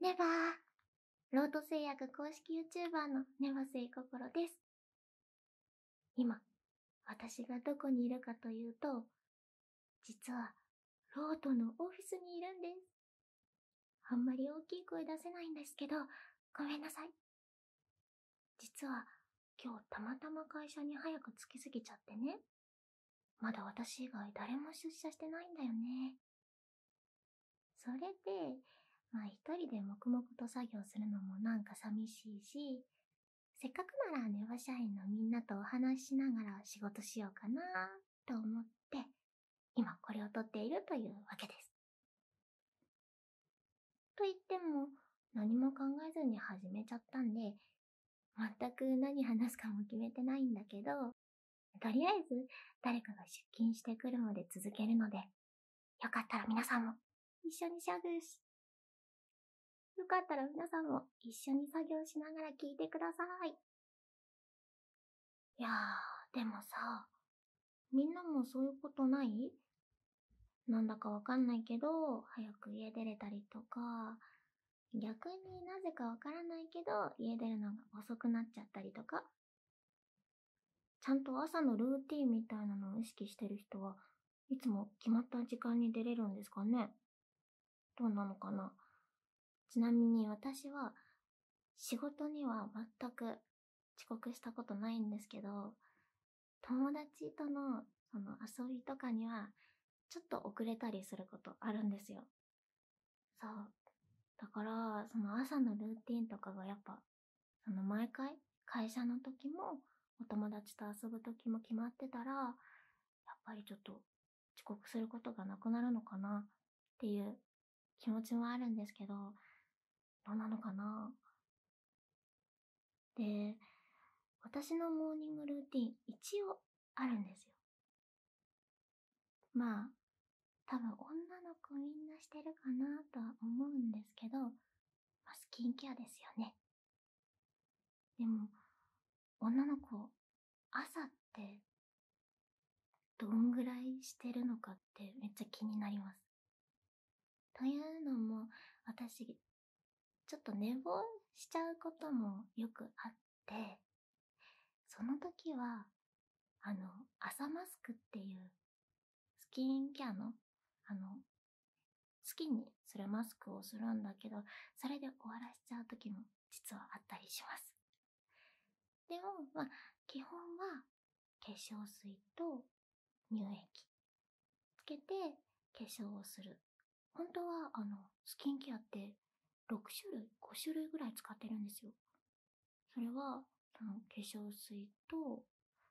ネバロート製薬公式 y o u t u b e のネバセイココロです。今、私がどこにいるかというと、実は、ロートのオフィスにいるんです。あんまり大きい声出せないんですけど、ごめんなさい。実は、今日たまたま会社に早く着きすぎちゃってね。まだ私以外誰も出社してないんだよね。それで、まあ一人で黙々と作業するのもなんか寂しいし、せっかくならネバ社員のみんなとお話ししながら仕事しようかなと思って、今これを撮っているというわけです。と言っても何も考えずに始めちゃったんで全く何話すかも決めてないんだけどとりあえず誰かが出勤してくるまで続けるのでよかったら皆さんも一緒にしゃ。グしよかったら皆さんも一緒に作業しながら聞いてください。いやでもさ、みんなもそういうことないなんだかわかんないけど、早く家出れたりとか、逆になぜかわからないけど、家出るのが遅くなっちゃったりとか。ちゃんと朝のルーティンみたいなのを意識してる人はいつも決まった時間に出れるんですかねどうなのかなちなみに私は仕事には全く遅刻したことないんですけど、友達とのその遊びとかにはちょっと遅れたりすることあるんですよ。そう。だから、その朝のルーティンとかがやっぱ、その毎回会社の時もお友達と遊ぶ時も決まってたら、やっぱりちょっと遅刻することがなくなるのかなっていう気持ちもあるんですけど、どうなのかなで、私のモーニングルーティン一応あるんですよ。まあ、多分女の子みんなしてるかなとは思うんですけど、まあ、スキンケアですよね。でも、女の子朝ってどんぐらいしてるのかってめっちゃ気になります。というのも私ちょっと寝坊しちゃうこともよくあってその時はあの朝マスクっていうスキンケアのあの好きにそれマスクをするんだけどそれで終わらせちゃう時も実はあったりしますでも、基本は化粧水と乳液つけて化粧をする。本当は、あの、スキンケアって6種類、5種類ぐらい使ってるんですよ。それは、その化粧水と、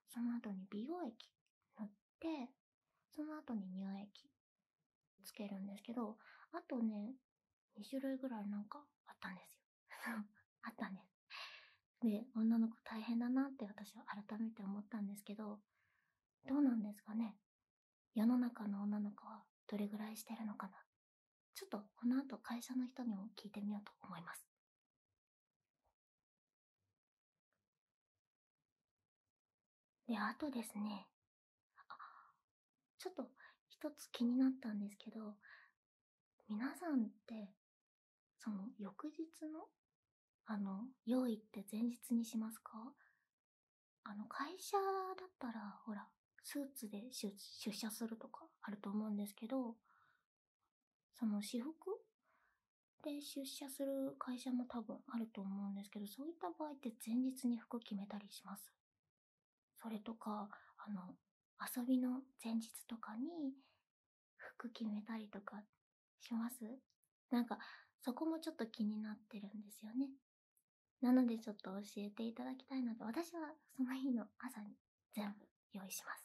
その後に美容液塗って、その後に乳液つけるんですけど、あとね、2種類ぐらいなんかあったんですよ あったんですで女の子大変だなって私は改めて思ったんですけどどうなんですかね世の中の女の子はどれぐらいしてるのかなちょっとこの後会社の人にも聞いてみようと思いますであとですねちょっと一つ気になったんですけど皆さんってその翌日のあの用意って前日にしますかあの会社だったらほらスーツで出社するとかあると思うんですけどその私服で出社する会社も多分あると思うんですけどそういった場合って前日に服決めたりしますそれとかあの遊びの前日とかに服決めたりとかしますなんかそこもちょっと気になってるんですよねなのでちょっと教えていただきたいので私はその日の朝に全部用意します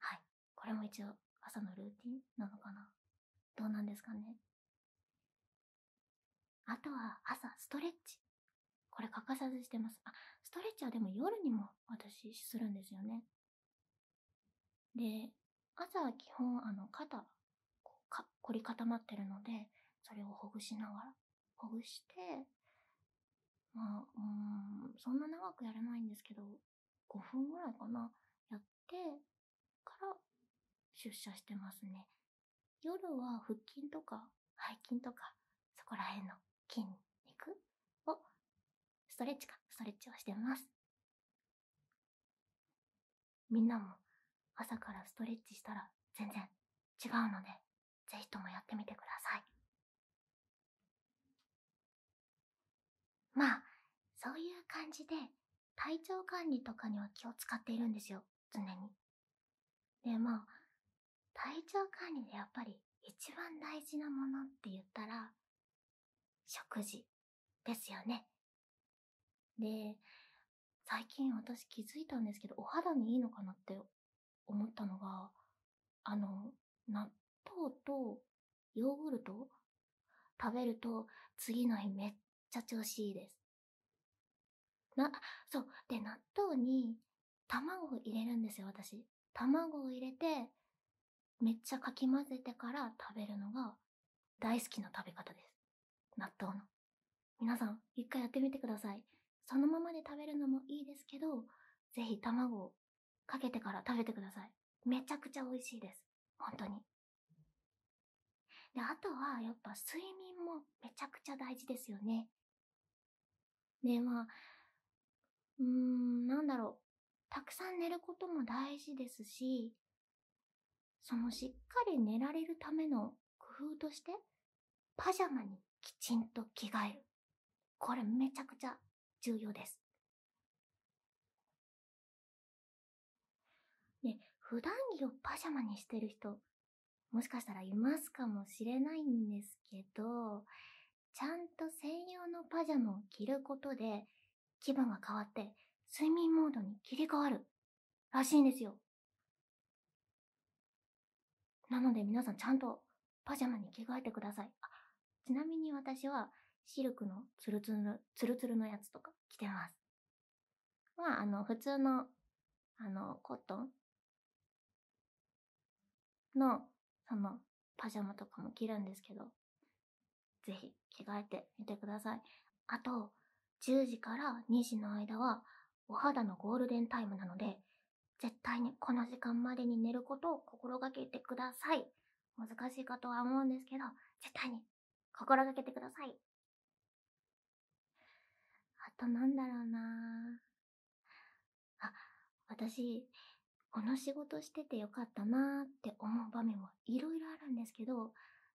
はいこれも一応朝のルーティンなのかなどうなんですかねあとは朝ストレッチこれ欠かさずしてますあストレッチはでも夜にも私するんですよねで朝は基本あの肩凝り固まってるのでそれをほぐしながらほぐしてまあそんな長くやらないんですけど5分ぐらいかなやってから出社してますね夜は腹筋とか背筋とかそこらへんの筋肉をストレッチかストレッチをしてますみんなも朝からストレッチしたら全然違うのでぜひともやってみてくださいまあそういう感じで体調管理とかには気を使っているんですよ常に。で、も体調管理でやっぱり一番大事なものって言ったら、食事ですよね。で、最近私気づいたんですけど、お肌にいいのかなって思ったのが、あの、納豆とヨーグルト食べると次の日めっちゃ調子いいです。なそうで納豆に卵を入れるんですよ私卵を入れてめっちゃかき混ぜてから食べるのが大好きな食べ方です納豆の皆さん一回やってみてくださいそのままで食べるのもいいですけど是非卵をかけてから食べてくださいめちゃくちゃ美味しいです本当にであとはやっぱ睡眠もめちゃくちゃ大事ですよねでまあうーんなんだろうたくさん寝ることも大事ですしそのしっかり寝られるための工夫としてパジャマにきちんと着替えるこれめちゃくちゃ重要ですね、普段着をパジャマにしてる人、もしかしたらいますかもしれないんですけど、ちゃんと専用のパジャマを着ることで、気分が変わって睡眠モードに切り替わるらしいんですよ。なので皆さんちゃんとパジャマに着替えてください。あちなみに私はシルクのツルツル、ツルツルのやつとか着てます。まああの、普通の、あの、コットンの、その、パジャマとかも着るんですけど、ぜひ着替えてみてください。あと、10時から2時の間は、お肌のゴールデンタイムなので、絶対にこの時間までに寝ることを心がけてください。難しいかとは思うんですけど、絶対に心がけてください。あとなんだろうなあ、私、この仕事しててよかったなーって思う場面はいろいろあるんですけど、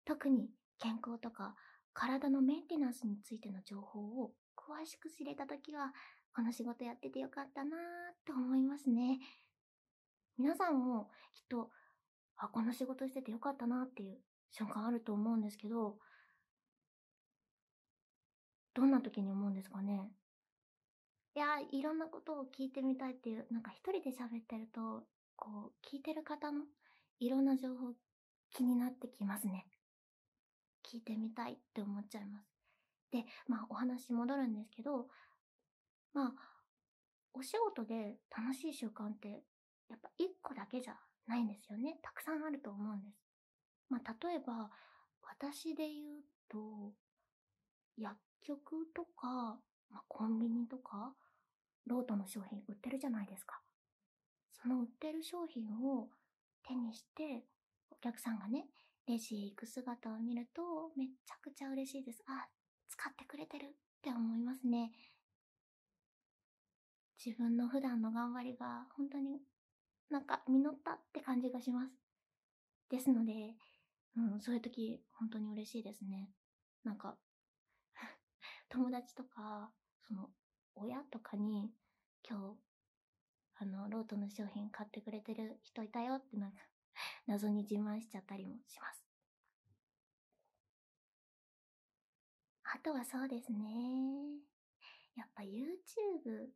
特に健康とか体のメンテナンスについての情報を詳しく知れた時は、この仕事やっててよかったなーって思いますね。皆さんもきっとあ、この仕事しててよかったなっていう瞬間あると思うんですけど、どんな時に思うんですかねいや、いろんなことを聞いてみたいっていう、なんか一人で喋ってると、こう、聞いてる方のいろんな情報気になってきますね。聞いてみたいって思っちゃいます。で、まお話戻るんですけど、まあお仕事で楽しい習慣ってやっぱ1個だけじゃないんですよねたくさんあると思うんです。まあ、例えば私で言うと薬局とか、まあ、コンビニとかロートの商品売ってるじゃないですか。その売ってる商品を手にしてお客さんがねレジへ行く姿を見るとめっちゃくちゃ嬉しいです。あ使ってくれてるって思いますね自分の普段の頑張りが本当になんか実ったって感じがしますですので、うん、そういう時本当に嬉しいですねなんか 友達とかその親とかに今日あのロートの商品買ってくれてる人いたよってなんか 謎に自慢しちゃったりもしますあとはそうですねやっぱ YouTube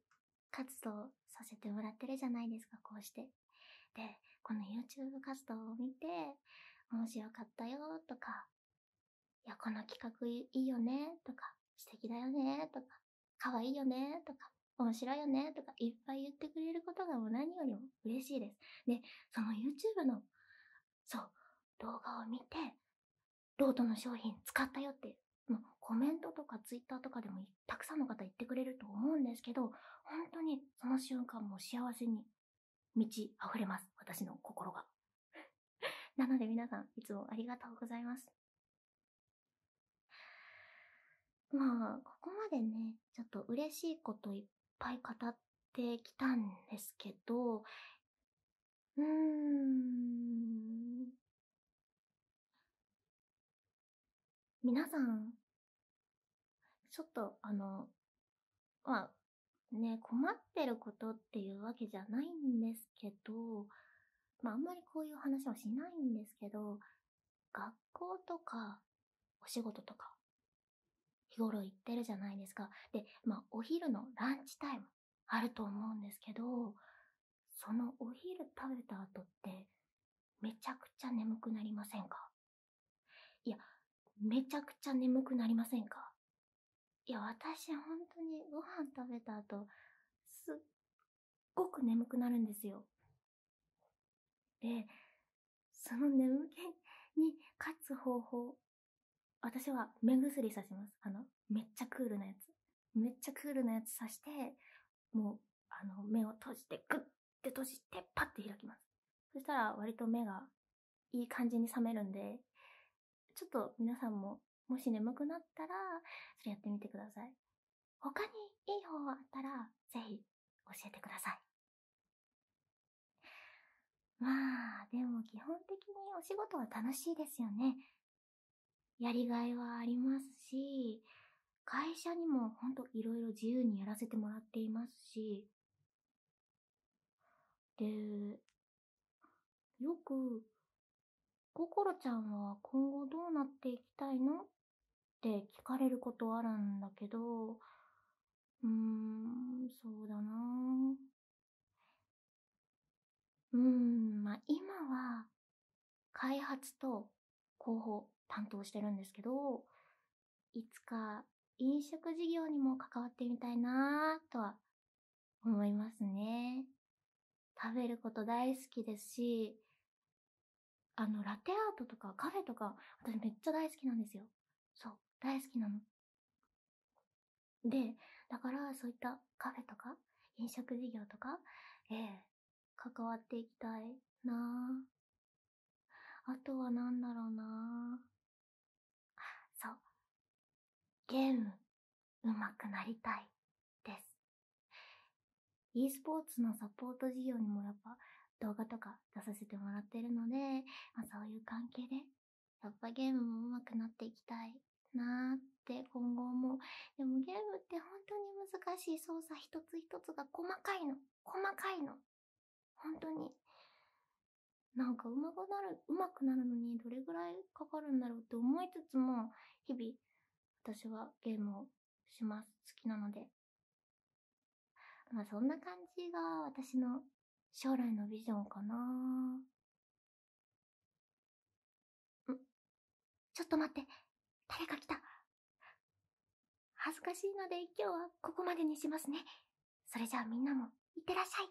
活動させてもらってるじゃないですかこうしてでこの YouTube 活動を見て面白かったよとかいやこの企画いいよねとか素敵だよねとか可愛いよねとか面白いよねとかいっぱい言ってくれることがもう何よりも嬉しいです。で、その YouTube の、そう、動画を見て、ロートの商品使ったよって、もうコメントとか Twitter とかでもたくさんの方言ってくれると思うんですけど、本当にその瞬間も幸せに満ち溢れます。私の心が。なので皆さん、いつもありがとうございます。まあ、ここまでね、ちょっと嬉しいこといっぱい語ってきたんですけど、うーん。皆さん、ちょっとあの、まあ、ね、困ってることっていうわけじゃないんですけど、まああんまりこういう話はしないんですけど、学校とか、お仕事とか、日頃行ってるじゃないですか。で、まあ、お昼のランチタイムあると思うんですけど、そのお昼食べた後って、めちゃくちゃ眠くなりませんかいや、めちゃくちゃ眠くなりませんかいや、私本当にご飯食べた後、すっごく眠くなるんですよ。で、その眠気に勝つ方法、私は目薬さします。あの、めっちゃクールなやつ。めっちゃクールなやつさして、もう、あの、目を閉じて、グッて閉じて、パッて開きます。そしたら割と目がいい感じに覚めるんで、ちょっと皆さんも、もし眠くなったら、それやってみてください。他にいい方あったら、ぜひ教えてください。まあ、でも基本的にお仕事は楽しいですよね。やりがいはありますし、会社にもほんといろいろ自由にやらせてもらっていますし、で、よく心ちゃんは今後どうなっていきたいのって聞かれることあるんだけど、うーん、そうだなうん、まあ、今は、開発と広報担当してるんですけど、いつか飲食事業にも関わってみたいなぁとは思いますね。食べること大好きですし、あの、ラテアートとかカフェとか、私めっちゃ大好きなんですよ。そう、大好きなの。で、だからそういったカフェとか、飲食事業とか、ええ関わっていきたいなあとは何だろうなそう、ゲーム。うまくなりたいです e スポーツのサポート事業にもやっぱ動画とか出させてもらってるので、まそういう関係でやっぱゲームも上手くなっていきたいなって今後もでもゲームって本当に難しい操作一つ一つが細かいの細かいの本当になんかうまくなるうまくなるのにどれぐらいかかるんだろうって思いつつも日々私はゲームをします。好きなので。まそんな感じが私の将来のビジョンかなーんちょっと待って。誰か来た。恥ずかしいので今日はここまでにしますね。それじゃあみんなも、いってらっしゃい。